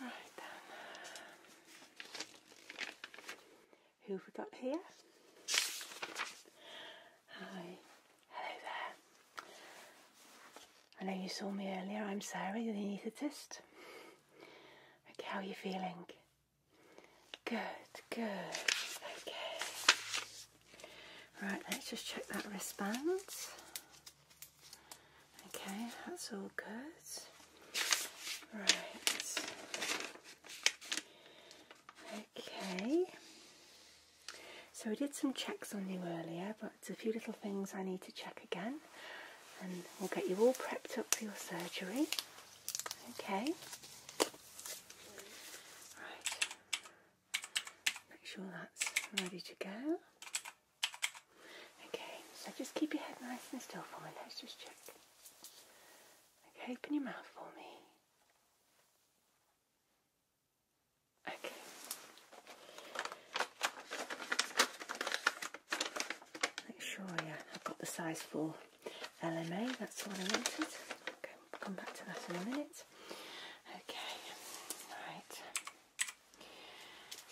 Right then. Who have we got here? Hi. Hello there. I know you saw me earlier. I'm Sarah, the anaesthetist. Okay, how are you feeling? Good, good. Okay. Right, let's just check that wristband. Okay, that's all good. Right. Okay. So we did some checks on you earlier, but a few little things I need to check again. And we'll get you all prepped up for your surgery. Okay. Right. Make sure that's ready to go. Okay, so just keep your head nice and still for me. Let's just check. Okay, open your mouth for me. Okay. Make sure, yeah, I've got the size for LMA, that's what I wanted. Okay, come back to that in a minute. Okay, right.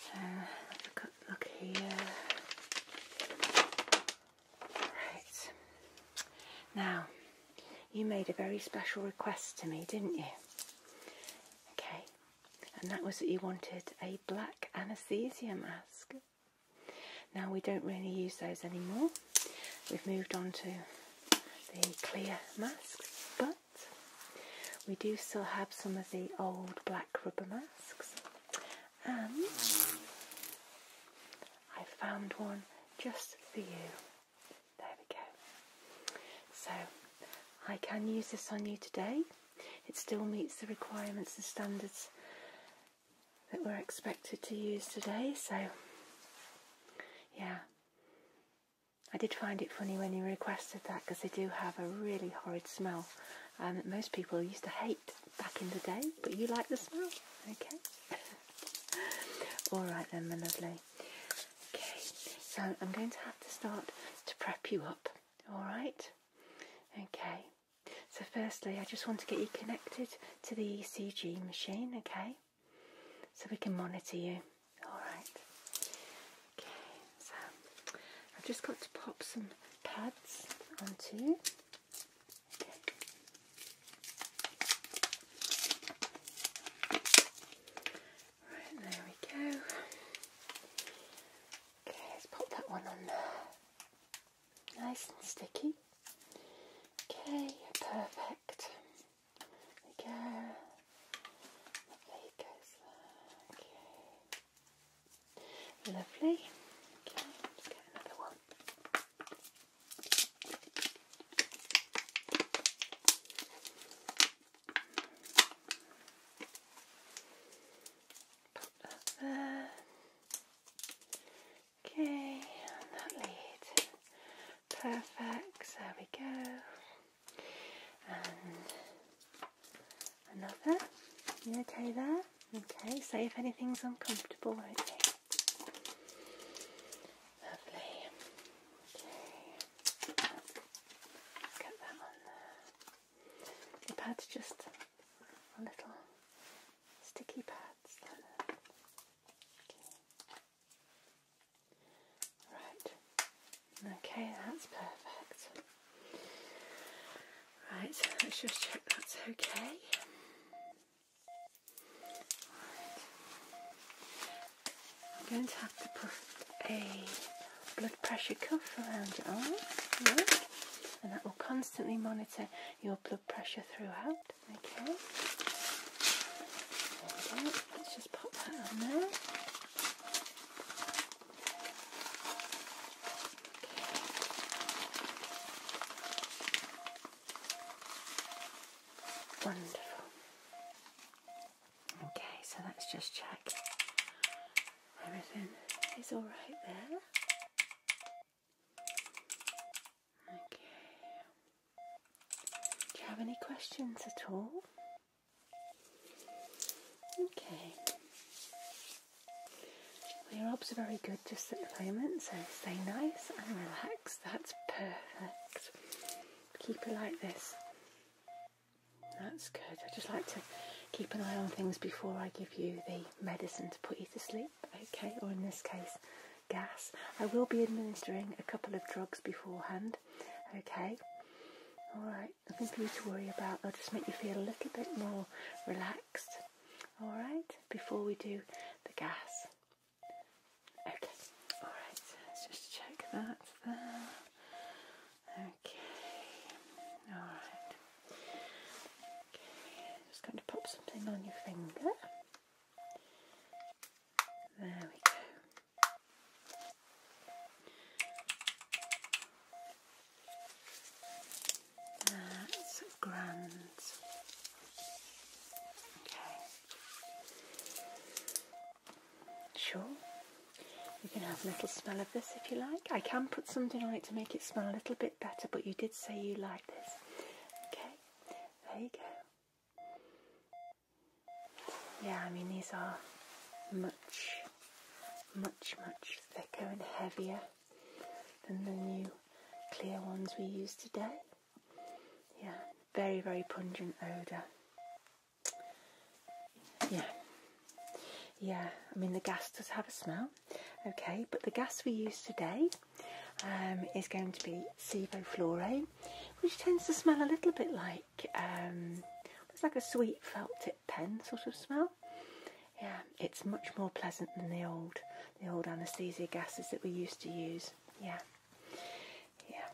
So look here. Right. Now, you made a very special request to me, didn't you? Okay. And that was that you wanted a black anaesthesia mask. Now we don't really use those anymore. We've moved on to the clear masks, but we do still have some of the old black rubber masks, and I found one just for you. There we go. So I can use this on you today. It still meets the requirements and standards that we're expected to use today, so yeah. I did find it funny when you requested that because they do have a really horrid smell um, most people used to hate back in the day, but you like the smell. Okay. All right then, my lovely. Okay, so I'm going to have to start to prep you up. All right. Okay. So firstly, I just want to get you connected to the ECG machine. Okay so we can monitor you. Alright. Okay, so I've just got to pop some pads onto you. there we go. Okay, let's pop that one on there. Nice and sticky. Okay, perfect. There it go. Lovely. Okay, get another one. Pop that there. Okay, that lead. Perfect, there we go. And another. okay there? Okay, so if anything's uncomfortable, won't Okay. Get that on there. The pad's just a little sticky pads. Okay. Right, okay, that's perfect. Right, let's just check that's okay. I'm going to have to put a blood pressure cuff around your arm, and that will constantly monitor your blood pressure throughout. Okay. Let's just pop that on there. Wonderful. Okay, so let's just check everything is all right there. Do you have any questions at all? Okay. Well, your obs are very good just at the moment, so stay nice and relaxed. That's perfect. Keep it like this. That's good. I just like to keep an eye on things before I give you the medicine to put you to sleep, okay? Or in this case, gas. I will be administering a couple of drugs beforehand. Okay. Alright, nothing for you to worry about. They'll just make you feel a little bit more relaxed. Alright, before we do the gas. Okay, alright, let's just check that there. Okay, alright. Okay, just going to pop something on your finger. There we go. That's grand. Okay. Sure. You can have a little smell of this if you like. I can put something on it to make it smell a little bit better, but you did say you like this. Okay. There you go. Yeah, I mean, these are much, much, much thicker and heavier than the new clear ones we use today. Yeah, very, very pungent odour. Yeah. Yeah, I mean, the gas does have a smell, okay, but the gas we use today um, is going to be Sevoflore, which tends to smell a little bit like um, it's like a sweet felt tip pen sort of smell. Yeah, it's much more pleasant than the old the old anaesthesia gases that we used to use. Yeah, yeah.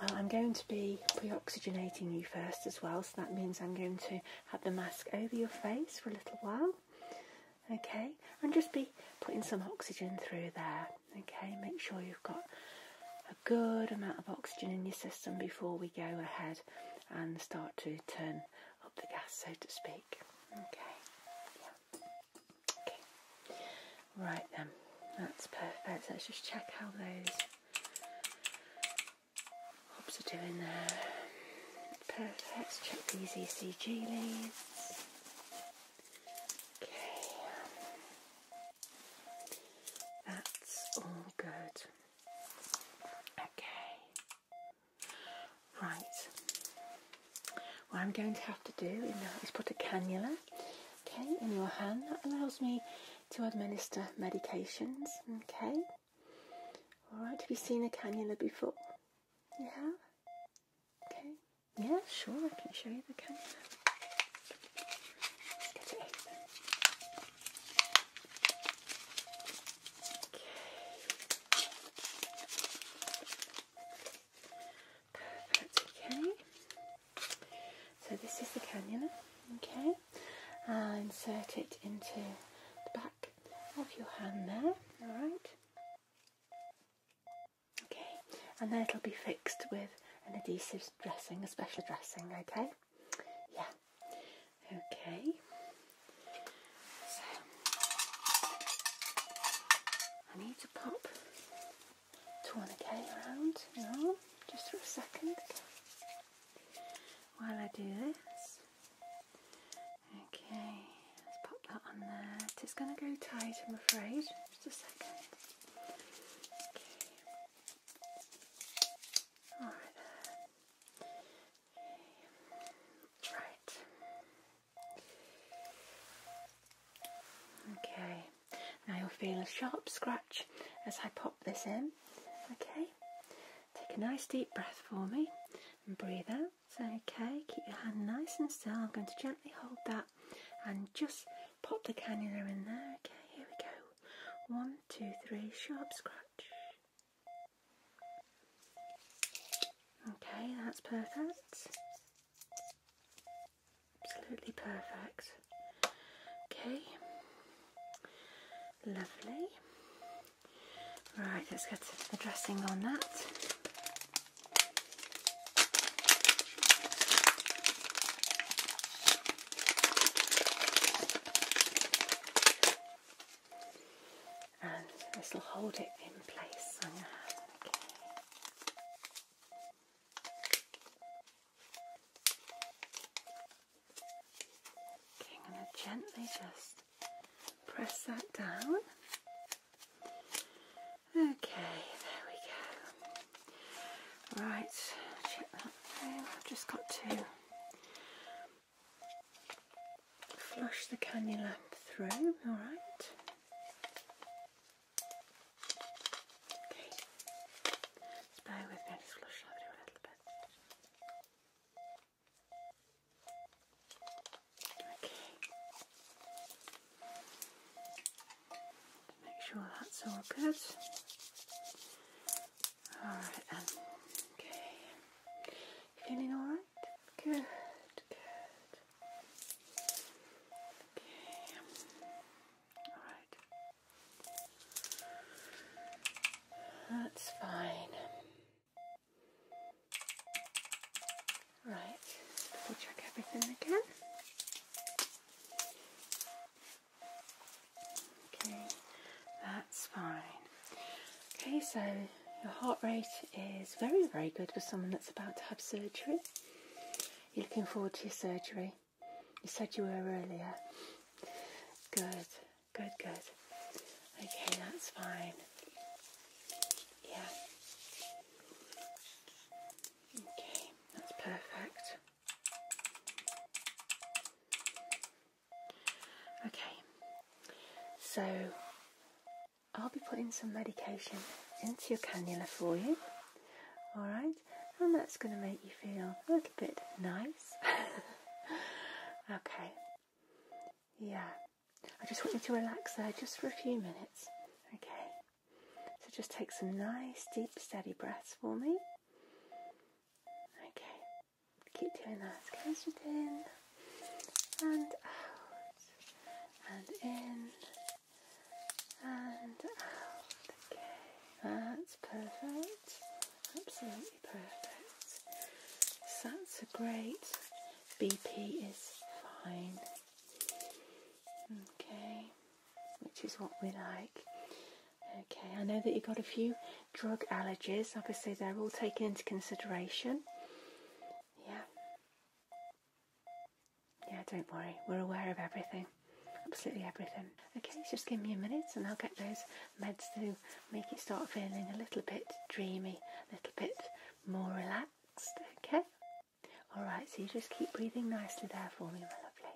Well, I'm going to be pre-oxygenating you first as well, so that means I'm going to have the mask over your face for a little while. Okay, and just be putting some oxygen through there. Okay, make sure you've got a good amount of oxygen in your system before we go ahead and start to turn up the gas, so to speak. Okay, right then, that's perfect. Let's just check how those hops are doing there. Perfect, check these ECG leads. Okay, that's all good. Okay, right. What I'm going to have to do now is put a cannula, okay, in your hand. That allows me to administer medications, okay. All right. Have you seen a cannula before? Yeah. Okay. Yeah, sure, I can show you the camera. Okay. Perfect, okay. So this is the cannula, okay. insert it into the back of your hand there, alright. Okay, and then it'll be fixed with an adhesive dressing, a special dressing, okay? Yeah. Okay. So I need to pop tourniquet around just for a second. While I do this. Okay let's pop that on there. It is going to go tight, I'm afraid. Just a second. Okay. there. Right. Okay. Now you'll feel a sharp scratch as I pop this in. Okay. Take a nice deep breath for me and breathe out. Okay, keep your hand nice and still. I'm going to gently hold that and just pop the cannula in there. Okay, here we go. One, two, three, sharp scratch. Okay, that's perfect. Absolutely perfect. Okay, lovely. Right, let's get the dressing on that. And this will hold it in place Okay. okay, I'm going to gently just press that down. Okay, there we go. Right, check that through. I've just got to flush the cannula through, alright. Okay, just with me, I'll just flush that through a little bit. Okay, Make sure that's all good. Alright um, Okay. Feeling alright? Good, good. Okay. Alright. That's fine. Right, double check everything again. Okay, that's fine. Okay, so your heart rate is very, very good for someone that's about to have surgery. You're looking forward to your surgery. You said you were earlier. Good, good, good. Okay, that's fine. Yeah. Okay, that's perfect. Okay, so I'll be putting some medication into your cannula for you, alright, and that's going to make you feel a little bit nice. okay, yeah, I just want you to relax there just for a few minutes, okay. So just take some nice, deep, steady breaths for me. Okay, keep doing that. Count it in and out, and in and out. Okay, that's perfect. Absolutely perfect. So that's a great BP is fine. Okay, which is what we like. Okay, I know that you've got a few drug allergies. Obviously, they're all taken into consideration. Yeah. Yeah, don't worry. We're aware of everything. Absolutely everything. Okay, just give me a minute and I'll get those meds to make you start feeling a little bit dreamy, a little bit more relaxed. Okay? All right, so you just keep breathing nicely there for me, my lovely.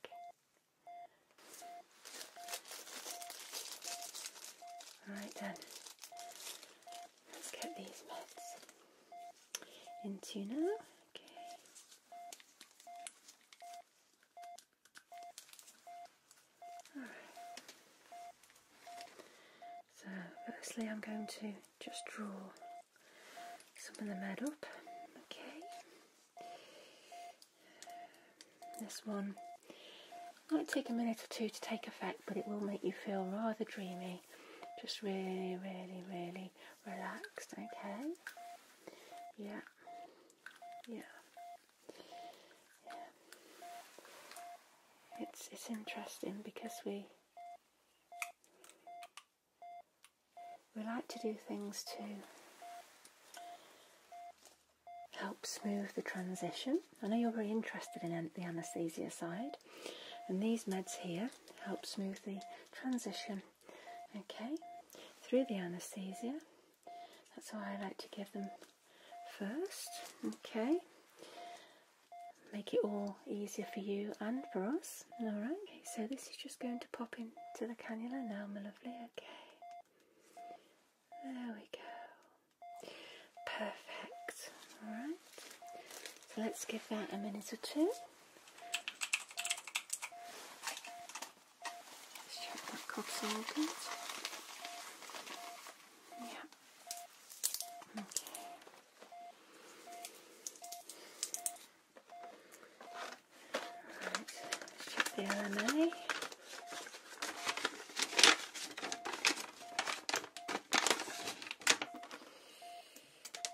Okay. All right then. Let's get these meds into now. Okay. All right. So firstly, I'm going to just draw some of the med up. Okay. This one might take a minute or two to take effect, but it will make you feel rather dreamy. Just really, really, really relaxed. Okay. Yeah. Yeah. yeah. It's it's interesting because we we like to do things to help smooth the transition. I know you're very interested in the anaesthesia side, and these meds here help smooth the transition. Okay, through the anaesthesia. That's why I like to give them first. Okay, make it all easier for you and for us. Alright, so this is just going to pop into the cannula now, my lovely. Okay, there we go. Perfect. Alright, so let's give that a minute or two. Let's check that cough's all Okay. Right, the LMA.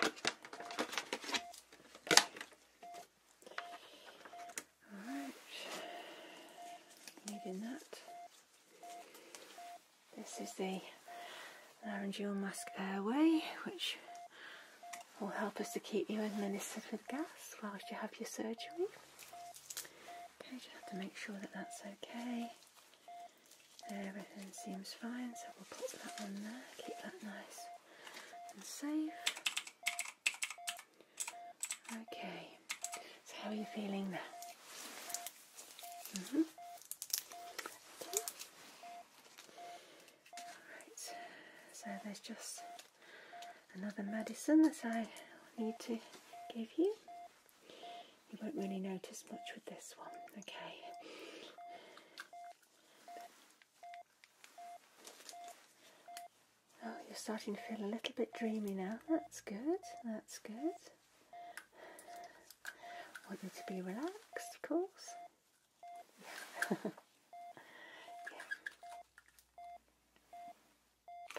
Alright, needing that. This is the laryngeal mask airway, which will help us to keep you administered with gas whilst you have your surgery. Okay, just have to make sure that that's okay. Everything seems fine, so we'll put that on there, keep that nice and safe. Okay, so how are you feeling -hmm so there's just another medicine that I need to give you. You won't really notice much with this one, okay? Oh, you're starting to feel a little bit dreamy now. That's good, that's good. Want you to be relaxed, of course yeah. Perfect.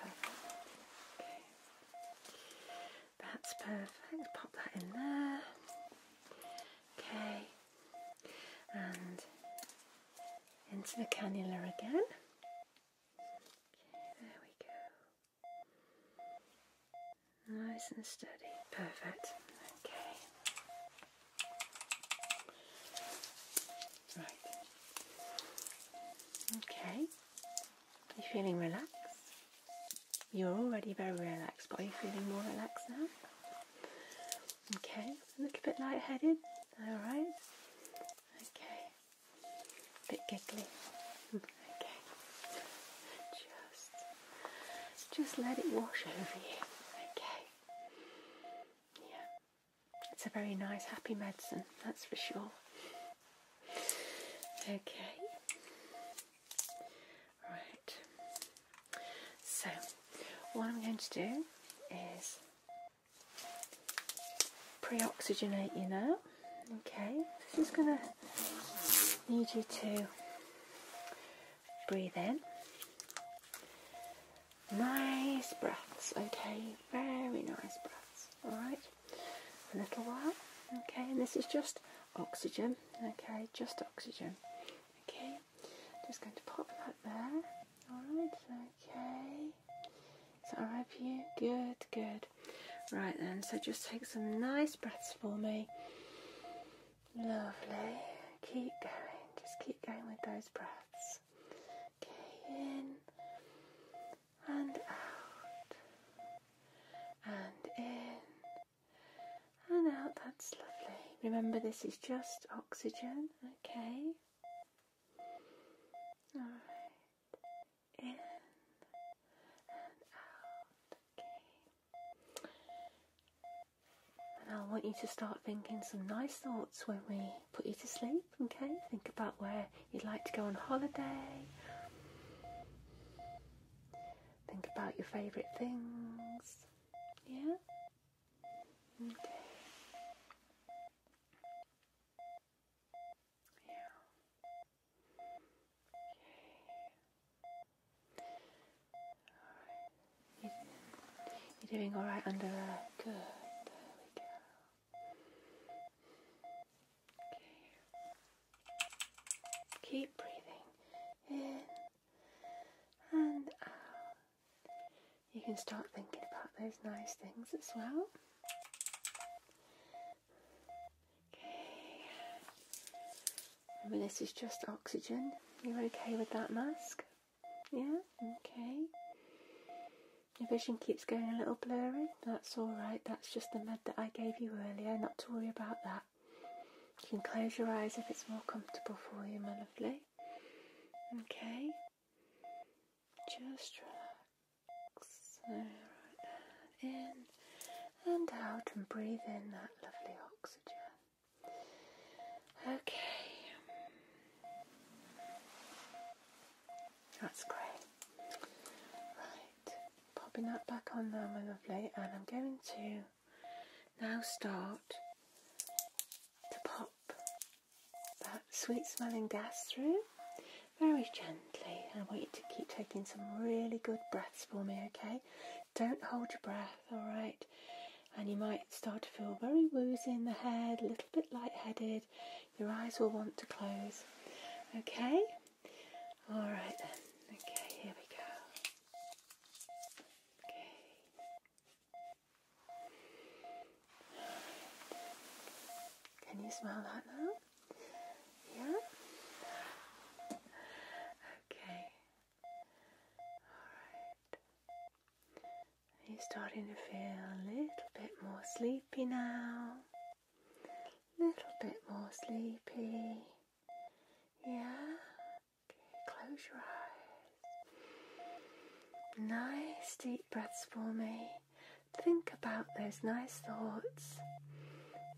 Okay. That's perfect. Pop that in there. Okay. And into the cannula again. Okay, there we go. Nice and steady. Perfect. Okay. Right. Okay. You feeling relaxed? You're already very relaxed, but are you feeling more relaxed now? Okay. A little bit lightheaded. All right. Okay. A bit giggly. Okay. Just just let it wash over you. Okay. Yeah. It's a very nice, happy medicine, that's for sure. Okay. Right. So, what I'm going to do is pre-oxygenate you now. Okay. This going to need you to breathe in. Nice breaths, okay? Very nice breaths, alright? A little while, okay? And this is just oxygen, okay? Just oxygen, okay? Just going to pop that there, alright? Okay. So I alright for you? Good, good. Right then, so just take some nice breaths for me. Lovely. Keep going. Just keep going with those breaths. Okay, in and out. And in and out. That's lovely. Remember, this is just oxygen. Okay. All right. In and out. Okay. And I want you to start thinking some nice thoughts when we put you to sleep, okay? Think about where you'd like to go on holiday. Think about your favourite things. Yeah? Okay. Yeah. Okay. You're doing alright under there. Good. There we go. Okay. Keep breathing in and out. You can start thinking about those nice things as well. Okay this is just oxygen. You're okay with that mask? Yeah? Okay. Your vision keeps going a little blurry. That's alright, that's just the med that I gave you earlier, not to worry about that. You can close your eyes if it's more comfortable for you, my lovely. Okay. Just relax. in and out and breathe in that lovely oxygen. Okay. That's great. Right. Popping that back on now, my lovely. And I'm going to now start to pop that sweet smelling gas through very gently. I want you to keep taking some really good breaths for me, okay? Don't hold your breath, alright? And you might start to feel very woozy in the head, a little bit lightheaded. Your eyes will want to close. Okay? Alright then. Okay, here we go. Okay. Can you smell that now? Yeah? Okay. Alright. Are starting to feel a little bit more sleepy now? Little bit more sleepy. Yeah? Okay, close your eyes. Nice deep breaths for me. Think about those nice thoughts.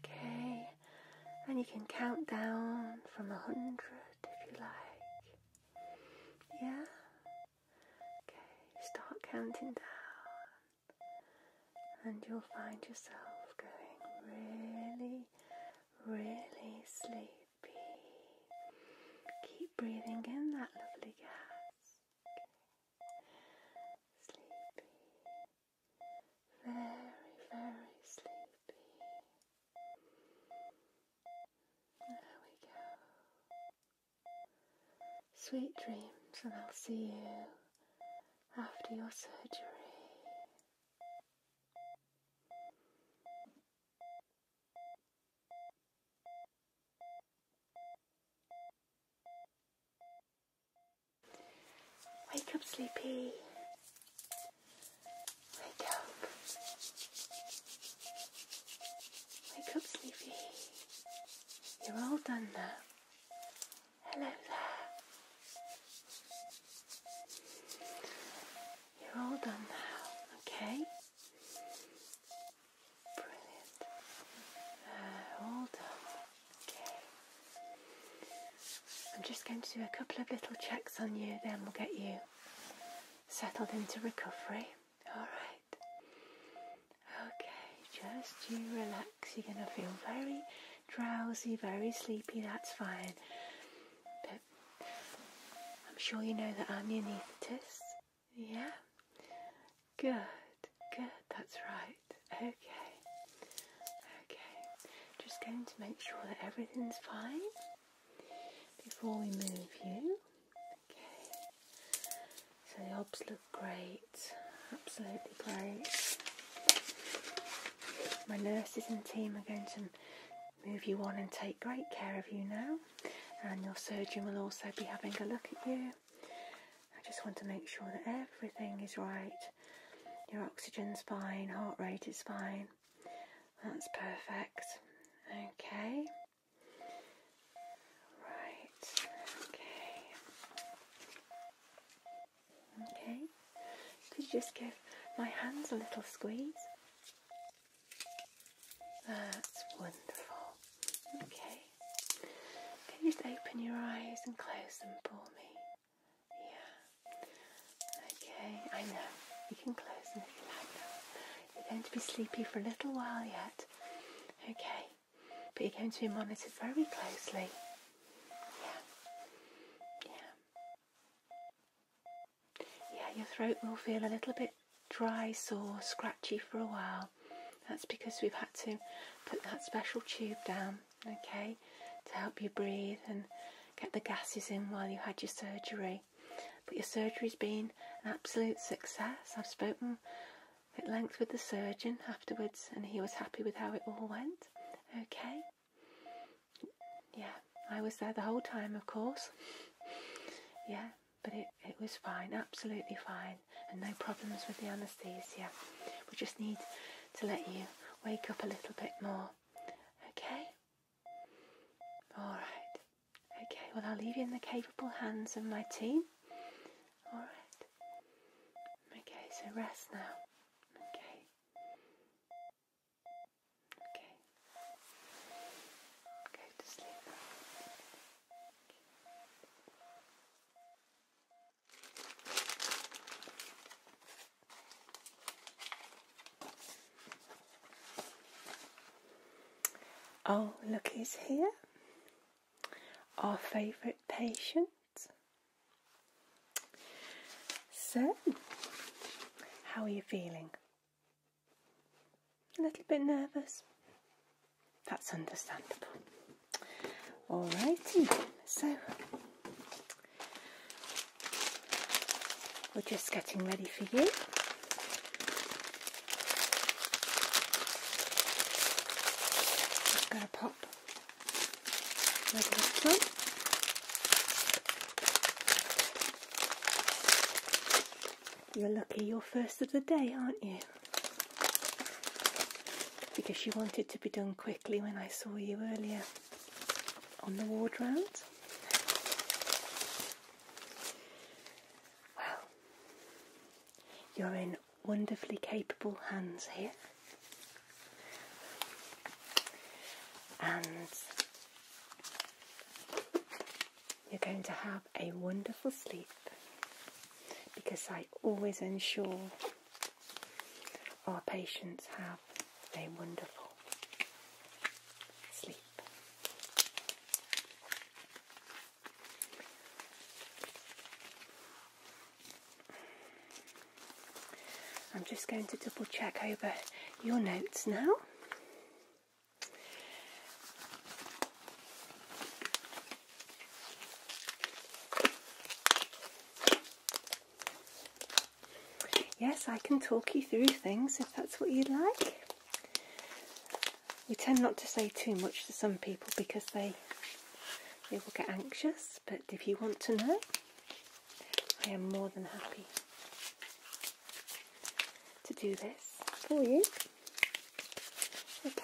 Okay? And you can count down from a hundred if you like. Yeah? Okay, start counting down, and you'll find yourself going really, really sleepy. Keep breathing in that lovely gas. Sleepy. Very, very sleepy. There we go. Sweet dreams, and I'll see you after your surgery. Wake up, sleepy. Wake up. Wake up, sleepy. You're all done now. Hello there. You're all done now, okay? Brilliant. Uh, all done. Okay. I'm just going to do a couple of little checks on you, then we'll get you settled into recovery. Alright. Okay, just you relax. You're going to feel very drowsy, very sleepy, that's fine. But I'm sure you know that I'm the anaesthetist. Yeah? Good, good, that's right. Okay. Okay. Just going to make sure that everything's fine before we move you. so the obs look great, absolutely great. My nurses and team are going to move you on and take great care of you now, and your surgeon will also be having a look at you. I just want to make sure that everything is right. Your oxygen's fine, heart rate is fine, that's perfect. Okay. Right. Okay. Okay. Could you just give my hands a little squeeze? That's wonderful. Okay. Can you just open your eyes and close them for me? Yeah. Okay, I know. You can close them if you like You're going to be sleepy for a little while yet. Okay. But you're going to be monitored very closely. Yeah. Yeah. Yeah, your throat will feel a little bit dry, sore, scratchy for a while. That's because we've had to put that special tube down, okay, to help you breathe and get the gases in while you had your surgery. But your surgery's been an absolute success. I've spoken at length with the surgeon afterwards and he was happy with how it all went. Okay? Yeah, I was there the whole time, of course. Yeah, but it, it was fine, absolutely fine, and no problems with the anaesthesia. We just need to let you wake up a little bit more. Okay? Alright. Okay, well, I'll leave you in the capable hands of my team. Alright. Okay, so rest now. Okay. Okay. Go to sleep. Okay. Oh, look who's here. Our favourite patient. So, how are you feeling? A little bit nervous? That's understandable. Alrighty, so we're just getting ready for you. going to pop You're lucky you're first of the day, aren't you? Because you wanted to be done quickly when I saw you earlier on the ward round. Well, you're in wonderfully capable hands here. And you're going to have a wonderful sleep because I always ensure our patients have a wonderful sleep. I'm just going to double check over your notes now. Yes, I can talk you through things if that's what you'd like. We tend not to say too much to some people because they they will get anxious, but if you want to know, I am more than happy to do this for you. Okay.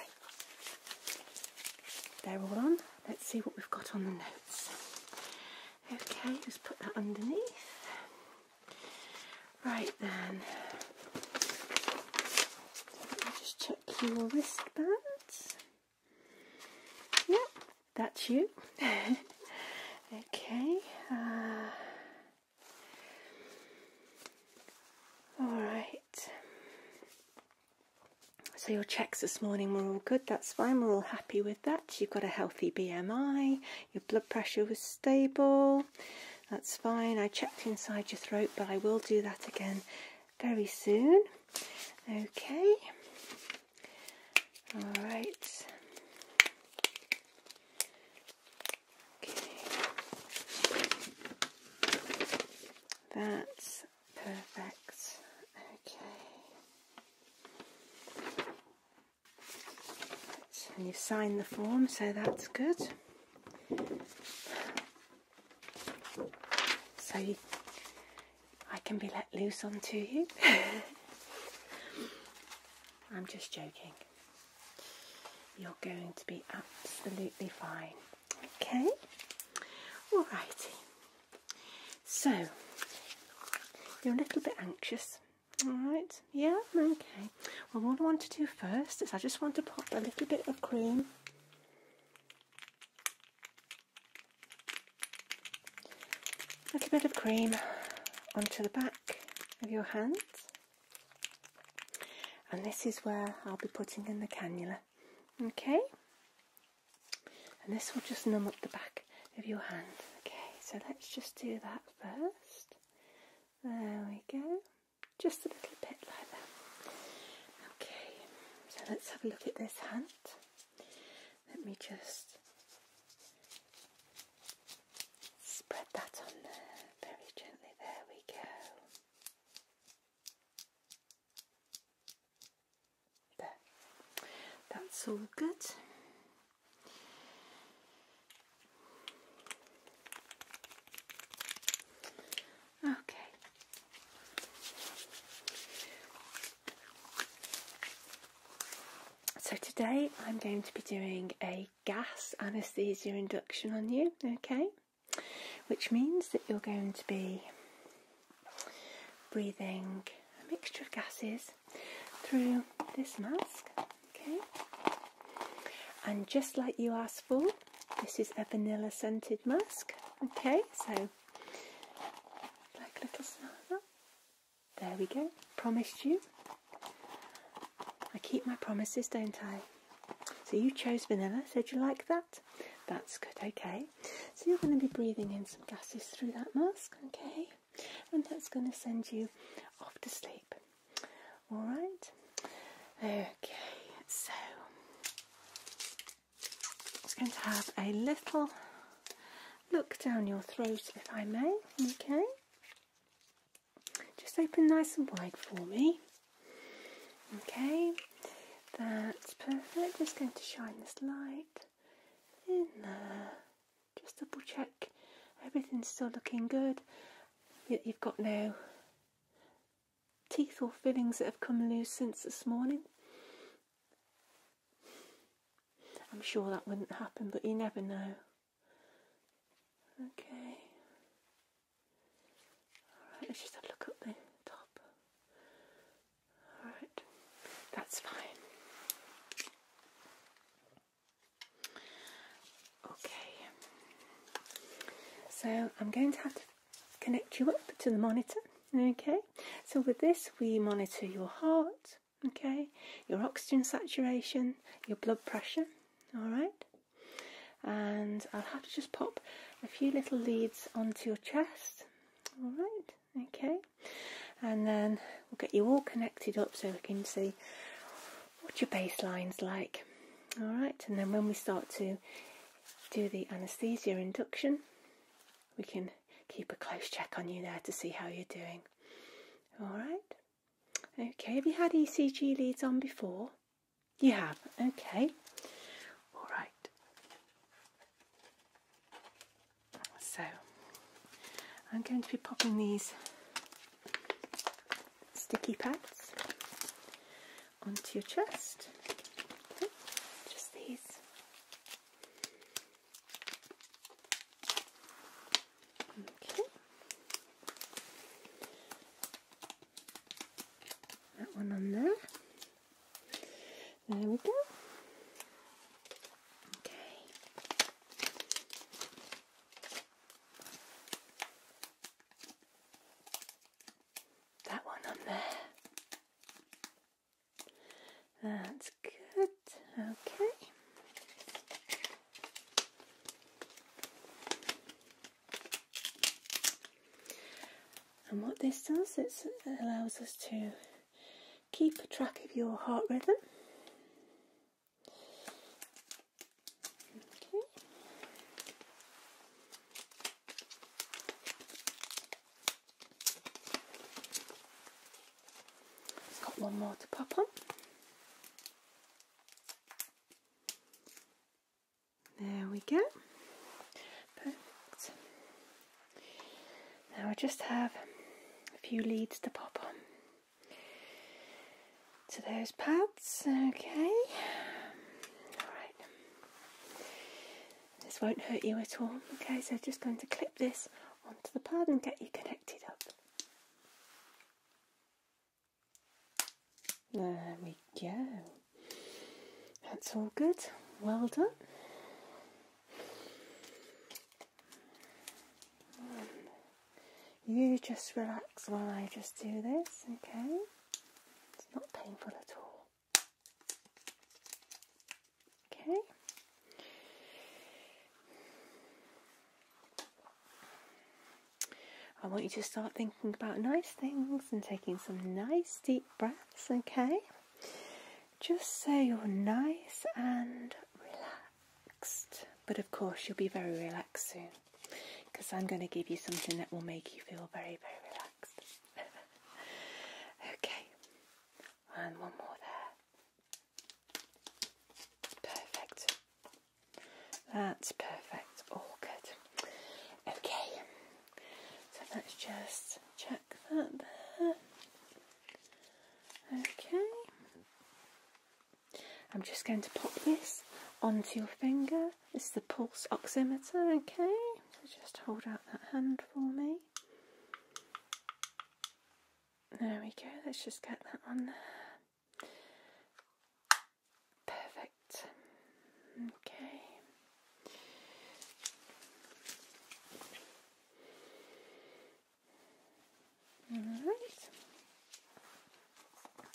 They're all on. Let's see what we've got on the notes. Okay, just put that underneath. Right then, let me just check your wristbands. Yep, that's you. okay. Uh, all right. So your checks this morning were all good. That's fine. We're all happy with that you've got a healthy BMI, your blood pressure was stable, that's fine. I checked inside your throat, but I will do that again very soon. Okay, all right. That's perfect. Okay and you've signed the form, so that's good. So I can be let loose onto you. I'm just joking. You're going to be absolutely fine. Okay? Alrighty. So, you're a little bit anxious. Alright, yeah, okay. Well, what I want to do first is I just want to pop a little bit of cream a little bit of cream onto the back of your hand and this is where I'll be putting in the cannula okay and this will just numb up the back of your hand okay so let's just do that first. There we go. Just a little bit like that. Okay, so let's have a look at this hand. Let me just spread that on there very gently. There we go. There. That's all good. Okay. So today I'm going to be doing a gas anaesthesia induction on you, okay? Which means that you're going to be breathing a mixture of gases through this mask. Okay, and just like you asked for, this is a vanilla scented mask. Okay, so like a little smell. There we go. Promised you. I keep my promises, don't I? So you chose vanilla. So Did you like that? That's good. Okay. So you're going to be breathing in some gases through that mask. Okay and that's going to send you off to sleep. All right. Okay, so we're going to have a little look down your throat, if I may. Okay. Just open nice and wide for me. Okay, that's perfect. Just going to shine this light in there just double check everything's still looking good. You've got no teeth or fillings that have come loose since this morning. I'm sure that wouldn't happen, but you never know. Okay. Alright, let's just have a look at the top. Alright, that's fine. Okay, so I'm going to have to connect you up to the monitor. Okay, so with this, we monitor your heart, okay, your oxygen saturation, your blood pressure, all right. And I'll have to just pop a few little leads onto your chest, all right, okay, and then we'll get you all connected up so we can see see what your baseline's like. Alright, and then when we start to do the anaesthesia induction, we can keep a close check on you there to see how you're doing. Alright? Okay, have you had ECG leads on before? You have, okay. Alright. So, I'm going to be popping these sticky pads onto your chest. just these. Okay. That one on there. There we go. Okay. That one on there. That's good. Okay. And what this does, it allows us to keep track of your heart rhythm got one more to pop on. There we go. Perfect. Now I just have a few leads to pop on to those pads. Okay. Alright. This won't hurt you at all. Okay, so just going to clip this onto the pad and get you connected up. There we go. That's all good. Well done. Um, you just relax while I just do this, okay? It's not painful at all. Okay? I want you to start thinking about nice things and taking some nice deep breaths, okay? Just say you're nice and relaxed. But of course, you'll be very relaxed soon because I'm going to give you something that will make you feel very, very relaxed. okay, and one more there. Perfect. That's perfect. All good. Okay, so let's just check that there. Okay. I'm just going to pop this onto your finger. This is the pulse oximeter, okay? So just hold out that hand for me. There we go, let's just get that on there. Perfect. Okay. Alright.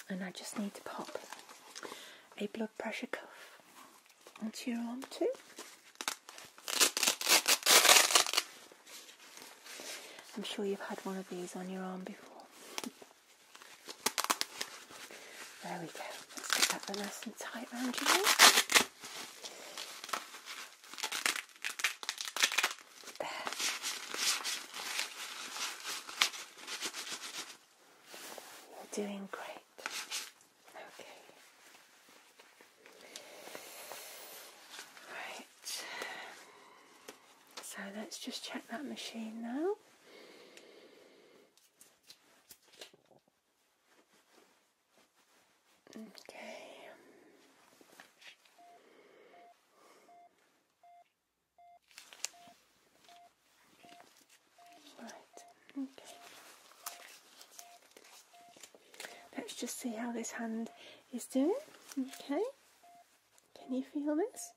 And I just need to pop a blood pressure cuff onto your arm too. I'm sure you've had one of these on your arm before. There we go. Let's get that nice and tight round your arm. You're doing great. Okay. Right. So let's just check that machine now. Okay. Right, okay. Let's just see how this hand is doing. Okay. Can you feel this?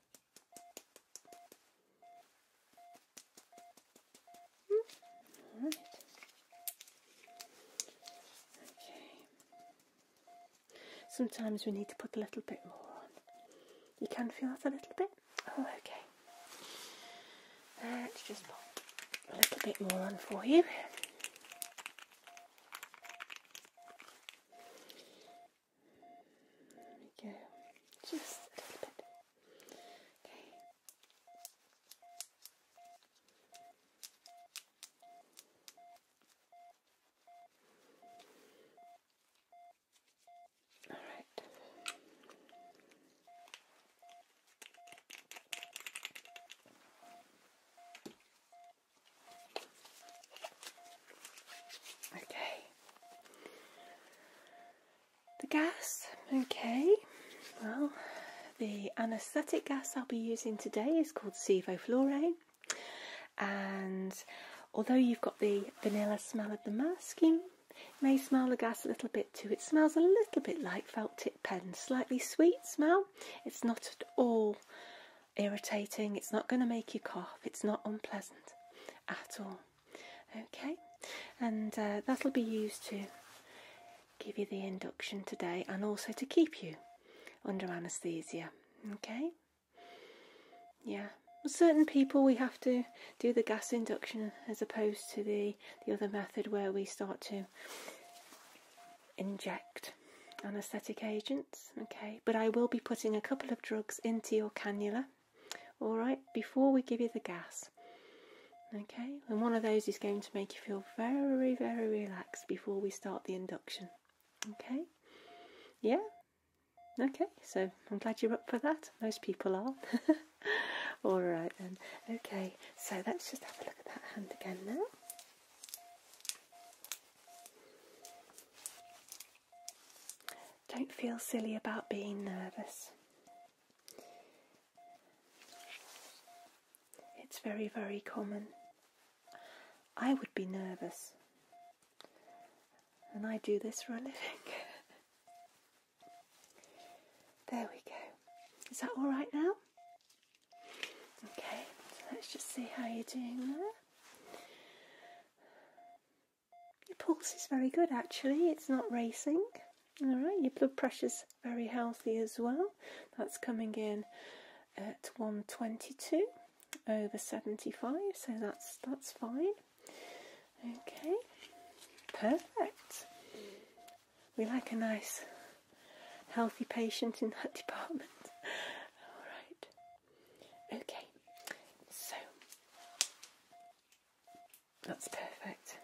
Mm. All right. Okay. Sometimes we need to put a little bit more on. You can feel that a little bit? Oh, okay. Let's just pop a little bit more on for you. There we go. Just a little bit. Okay. Okay. The gas, okay. Well, the anaesthetic gas I'll be using today is called sevoflurane. And although you've got the vanilla smell of the masking, it may smell the gas a little bit too. It smells a little bit like felt tip pen, slightly sweet smell. It's not at all irritating. It's not going to make you cough. It's not unpleasant at all. Okay, and uh, that'll be used to give you the induction today and also to keep you under anaesthesia. Okay. Yeah, with certain people we have to do the gas induction as opposed to the, the other method where we start to inject anaesthetic agents. Okay, but I will be putting a couple of drugs into your cannula, all right, before we give you the gas. Okay, and one of those is going to make you feel very, very relaxed before we start the induction. Okay? Yeah? Okay, so I'm glad you're up for that. Most people are. Alright then. Okay, so let's just have a look at that hand again now. Don't feel silly about being nervous. It's very, very common. I would be nervous and I do this for a living. there we go. Is that all right now? Okay, let's just see how you're doing there. Your pulse is very good actually, it's not racing. Alright, your blood pressure's very healthy as well. That's coming in at 122 over 75 so that's that's fine okay perfect we like a nice healthy patient in that department all right okay so that's perfect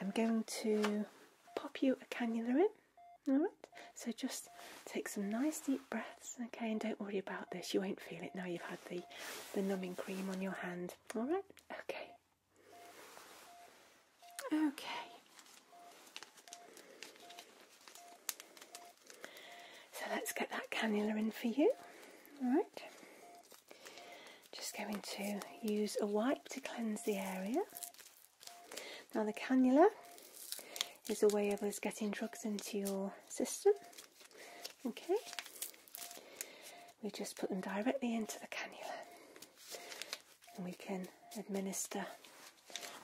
i'm going to pop you a cannula in Alright, so just take some nice deep breaths, okay, and don't worry about this. You won't feel it now you've had the, the numbing cream on your hand. Alright? Okay. Okay. So let's get that cannula in for you. Alright. Just going to use a wipe to cleanse the area. Now the cannula is a way of us getting drugs into your system. Okay, we just put them directly into the cannula and we can administer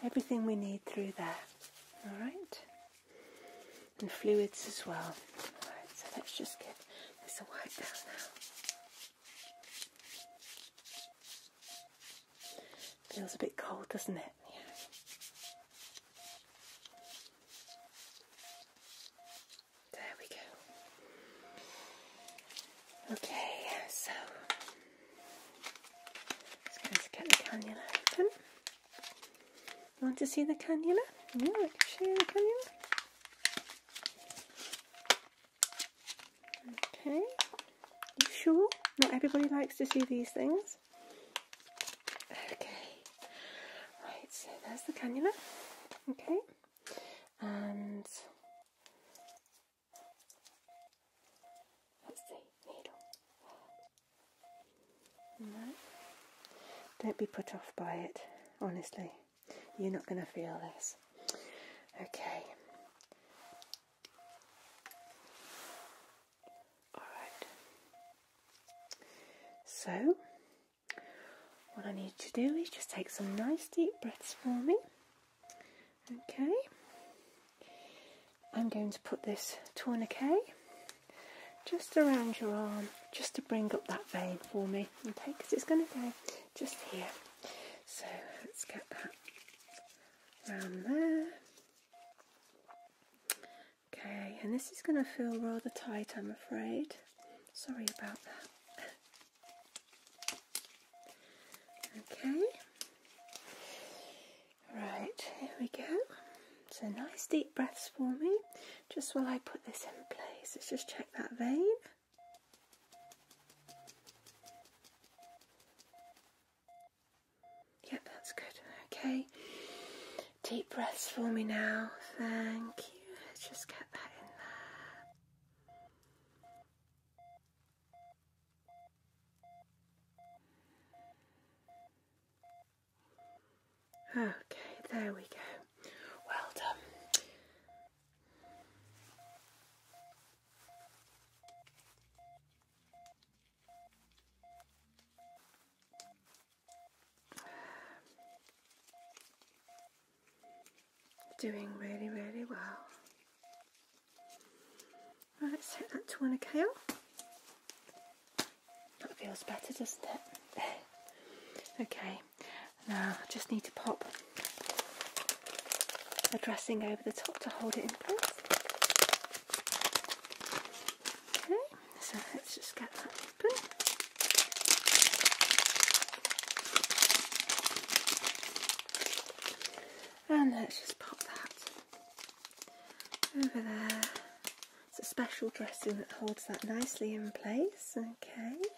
everything we need through there. Alright, and fluids as well. Alright, so let's just get this a wipe down now. Feels a bit cold, doesn't it? Yeah. There we go. Okay, so just going to get the cannula open. want to see the cannula? Yeah, I can show you the cannula. Okay. You sure? Not everybody likes to see these things. Okay, right, so there's the cannula, okay, and let's see, needle. No, don't be put off by it, honestly, you're not going to feel this. Okay. Alright. So, what I need to do is just take some nice deep breaths for me. Okay. I'm going to put this tourniquet just around your arm, just to bring up that vein for me. Okay, because it's going to go just here. So let's get that around there. Okay, and this is going to feel rather tight, I'm afraid. Sorry about that. okay. Right, here we go. So nice deep breaths for me, just while I put this in place. Let's just check that vein. Yep, that's good. Okay. Deep breaths for me now. Thank you. Let's just get that in there. Okay, there we go. Well done. Doing really, really well. let's hit that to one off. That feels better, doesn't it? okay, now I just need to pop the dressing over the top to hold it in place. Okay, so let's just get that open. And let's just pop that over there. It's a special dressing that holds that nicely in place. Okay.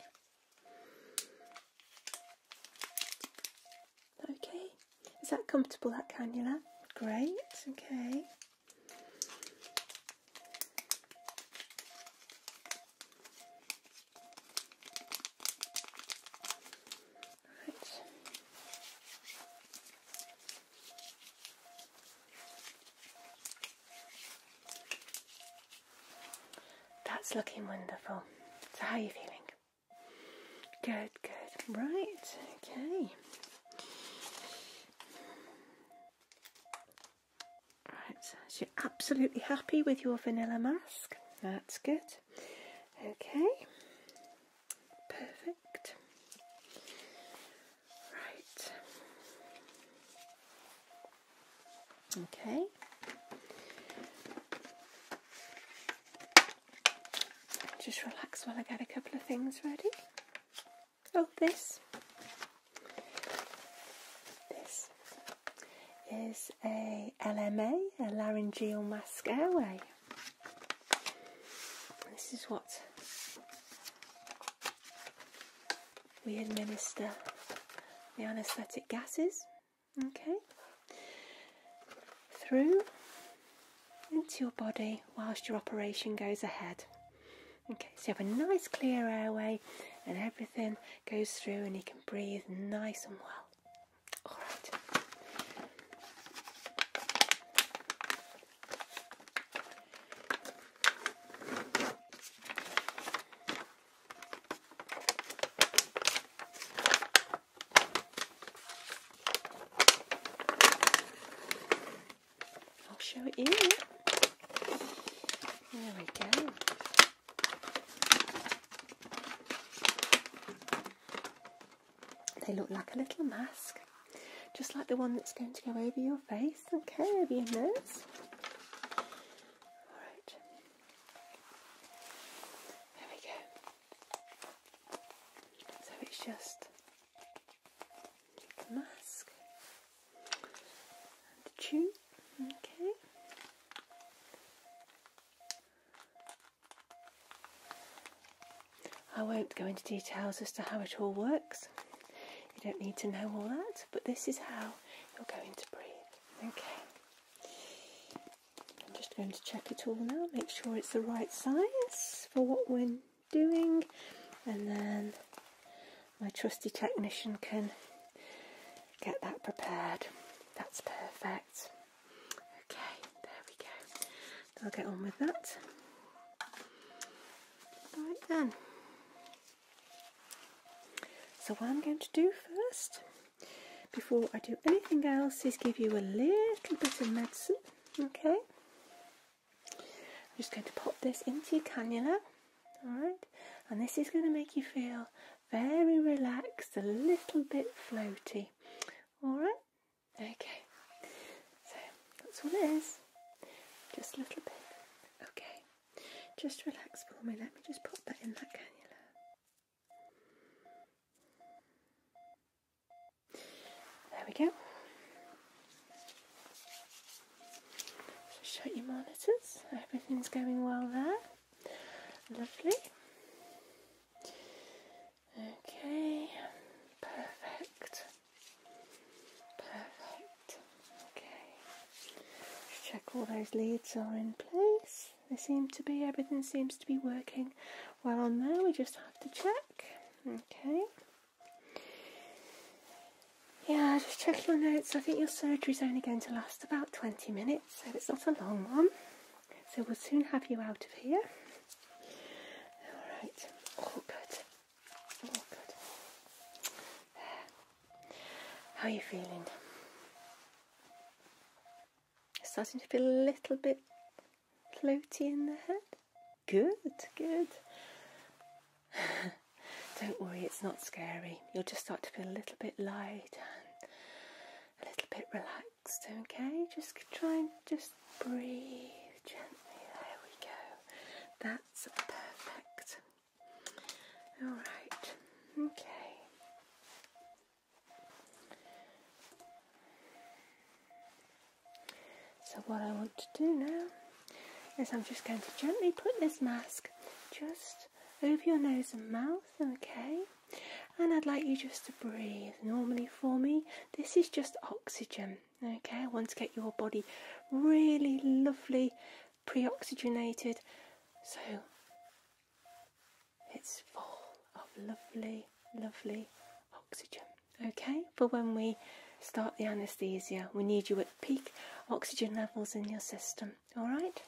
Okay, is that comfortable, that cannula? Great, okay. Right. That's looking wonderful. So how are you feeling? Good, good. Right, okay. Right, so you're absolutely happy with your vanilla mask. That's good. Okay. Perfect. Right. Okay. Just relax while I get a couple of things ready. Oh, this. This is a LMA, a laryngeal mask airway. This is what we administer the anaesthetic gases, okay, through into your body whilst your operation goes ahead. Okay, so you have a nice clear airway and everything goes through and you can breathe nice and well. Alright. I'll show you. There we go. They look like a little mask, just like the one that's going to go over your face okay, curve your nose. Alright. There we go. So it's just mask Okay. I won't go into details as to how it all works. You don't need to know all that, but this is how you're going to breathe. Okay. I'm just going to check it all now, make sure it's the right size for what we're doing and then my trusty technician can get that prepared. That's perfect. Okay, there we go. I'll get on with that. Right then. So what I'm going to do first, before I do anything else, is give you a little bit of medicine, okay? I'm just going to pop this into your cannula, alright? And this is going to make you feel very relaxed, a little bit floaty, alright? Okay, so that's all it is, just a little bit. Okay, just relax for me, let me just pop that in that cannula. There we go. Show shut your monitors. Everything's going well there. Lovely. Okay. Perfect. Perfect. Okay. check all those leads are in place. They seem to be, everything seems to be working well on there. We just have to check. Okay. Yeah, just check your notes. I think your surgery is only going to last about 20 minutes, so it's not a long one. So we'll soon have you out of here. All right, all oh, good. All oh, good. How are you feeling? Starting to feel a little bit floaty in the head? Good, good. Don't worry, it's not scary. You'll just start to feel a little bit light and a little bit relaxed, okay? Just try and just breathe gently. There we go. That's perfect. Alright, okay. So what I want to do now is I'm just going to gently put this mask just over your nose and mouth, okay? And I'd like you just to breathe. Normally for me, this is just oxygen, okay? I want to get your body really lovely, pre-oxygenated, so it's full of lovely, lovely oxygen okay? For when we start the anaesthesia, we need you at peak oxygen levels in your system, all right?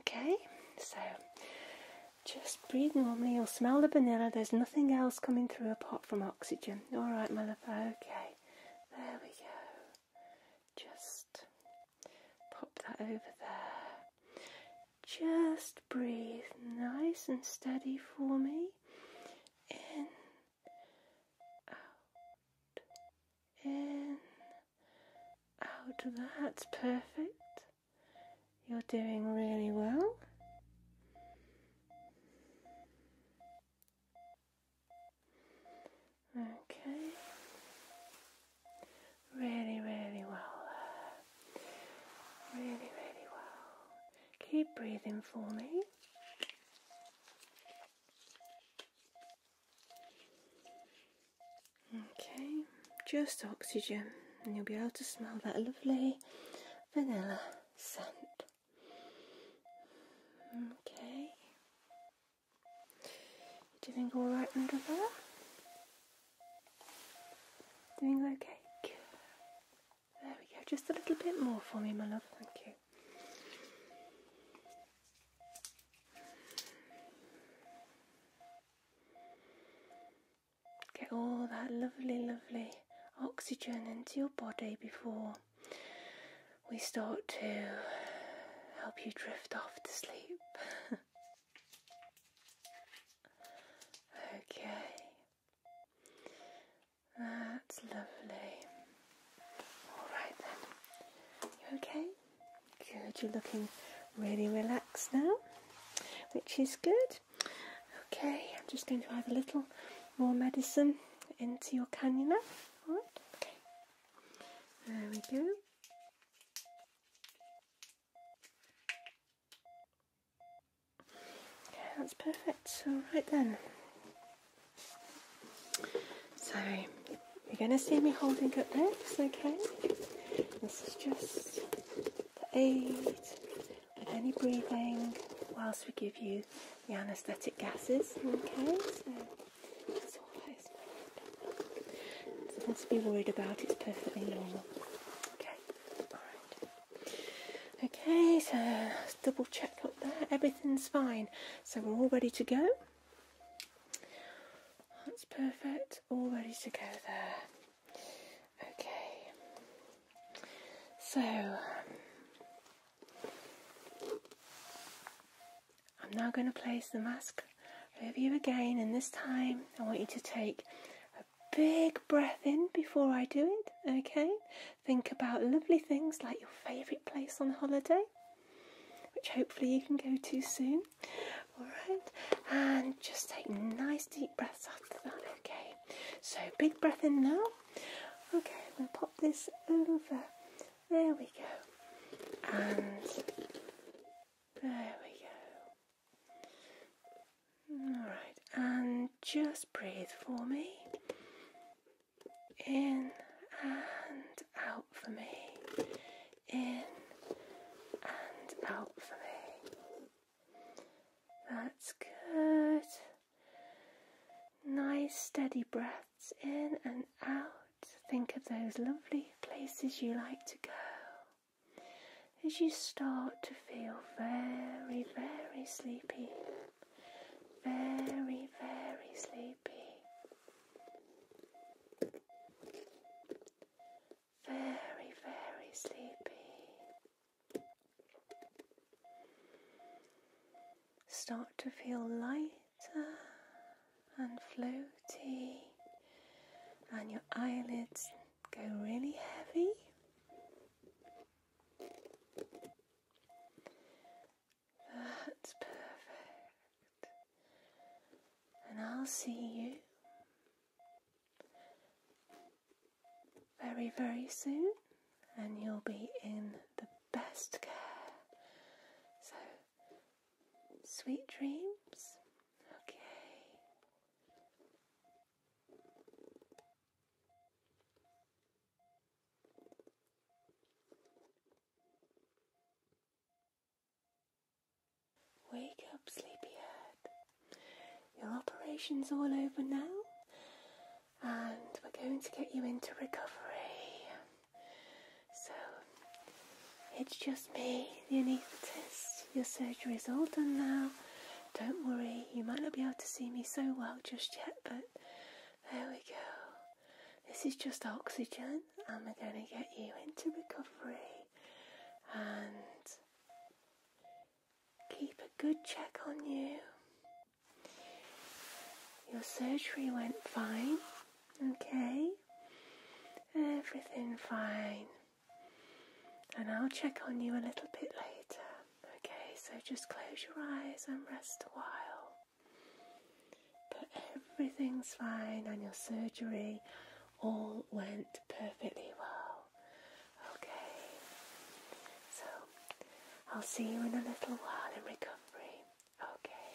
Okay, so just breathe normally. You'll smell the vanilla, there's nothing else coming through apart from oxygen, all right, my Okay, there we go. Just pop that over there. Just breathe nice and steady for me in, out, in, out. That's perfect. You're doing really well. Okay. Really, really well. Really, really well. Keep breathing for me. Okay, just oxygen, and you'll be able to smell that lovely vanilla scent. Okay, doing all right under there. Doing okay. There we go, just a little bit more for me, my love, thank you. Get all that lovely, lovely oxygen into your body before we start to help you drift off to sleep. okay. That's lovely. All right then. You okay? Good. You're looking really relaxed now, which is good. Okay, I'm just going to add a little more medicine into your cannula. There we go. Okay, that's perfect. So right then. So you're gonna see me holding up next, okay? This is just the aid With any breathing whilst we give you the anaesthetic gases, okay? So that's all that is. to be worried about, it's perfectly normal. Okay, alright. Okay, so let's double check up there. Everything's fine. So we're all ready to go. That's perfect. All ready to go there. Okay. So I'm now going to place the mask over you again, and this time I want you to take a big breath in before I do it, okay? Think about lovely things like your favourite place on holiday, which hopefully you can go to soon, alright? And just take nice deep breaths after that, okay? So, big breath in now. Okay, I'm going to pop this over. There we go. And there we go. Alright, and just breathe for me. In and out for me. In and out for me. That's good. Nice steady breaths in and out. Think of those lovely places you like to go as you start to feel very, very sleepy very, very sleepy, very, very sleepy. Start to feel lighter and floaty, and your eyelids go really heavy. That's perfect. And I'll see you very, very soon, and you'll be in the best care. So, sweet dreams. Okay. Wake up, sleepyhead. Your operation's all over now, and we're going to get you into recovery. So, it's just me, the anaesthetist. Your surgery's all done now, don't worry, you might not be able to see me so well just yet, but there we go. This is just oxygen, and we're going to get you into recovery and keep a good check on you. Your surgery went fine, okay? Everything fine. And I'll check on you a little bit later. Okay, so just close your eyes and rest a while. But everything's fine, and your surgery all went perfectly well. Okay, so I'll see you in a little while in recovery. Okay.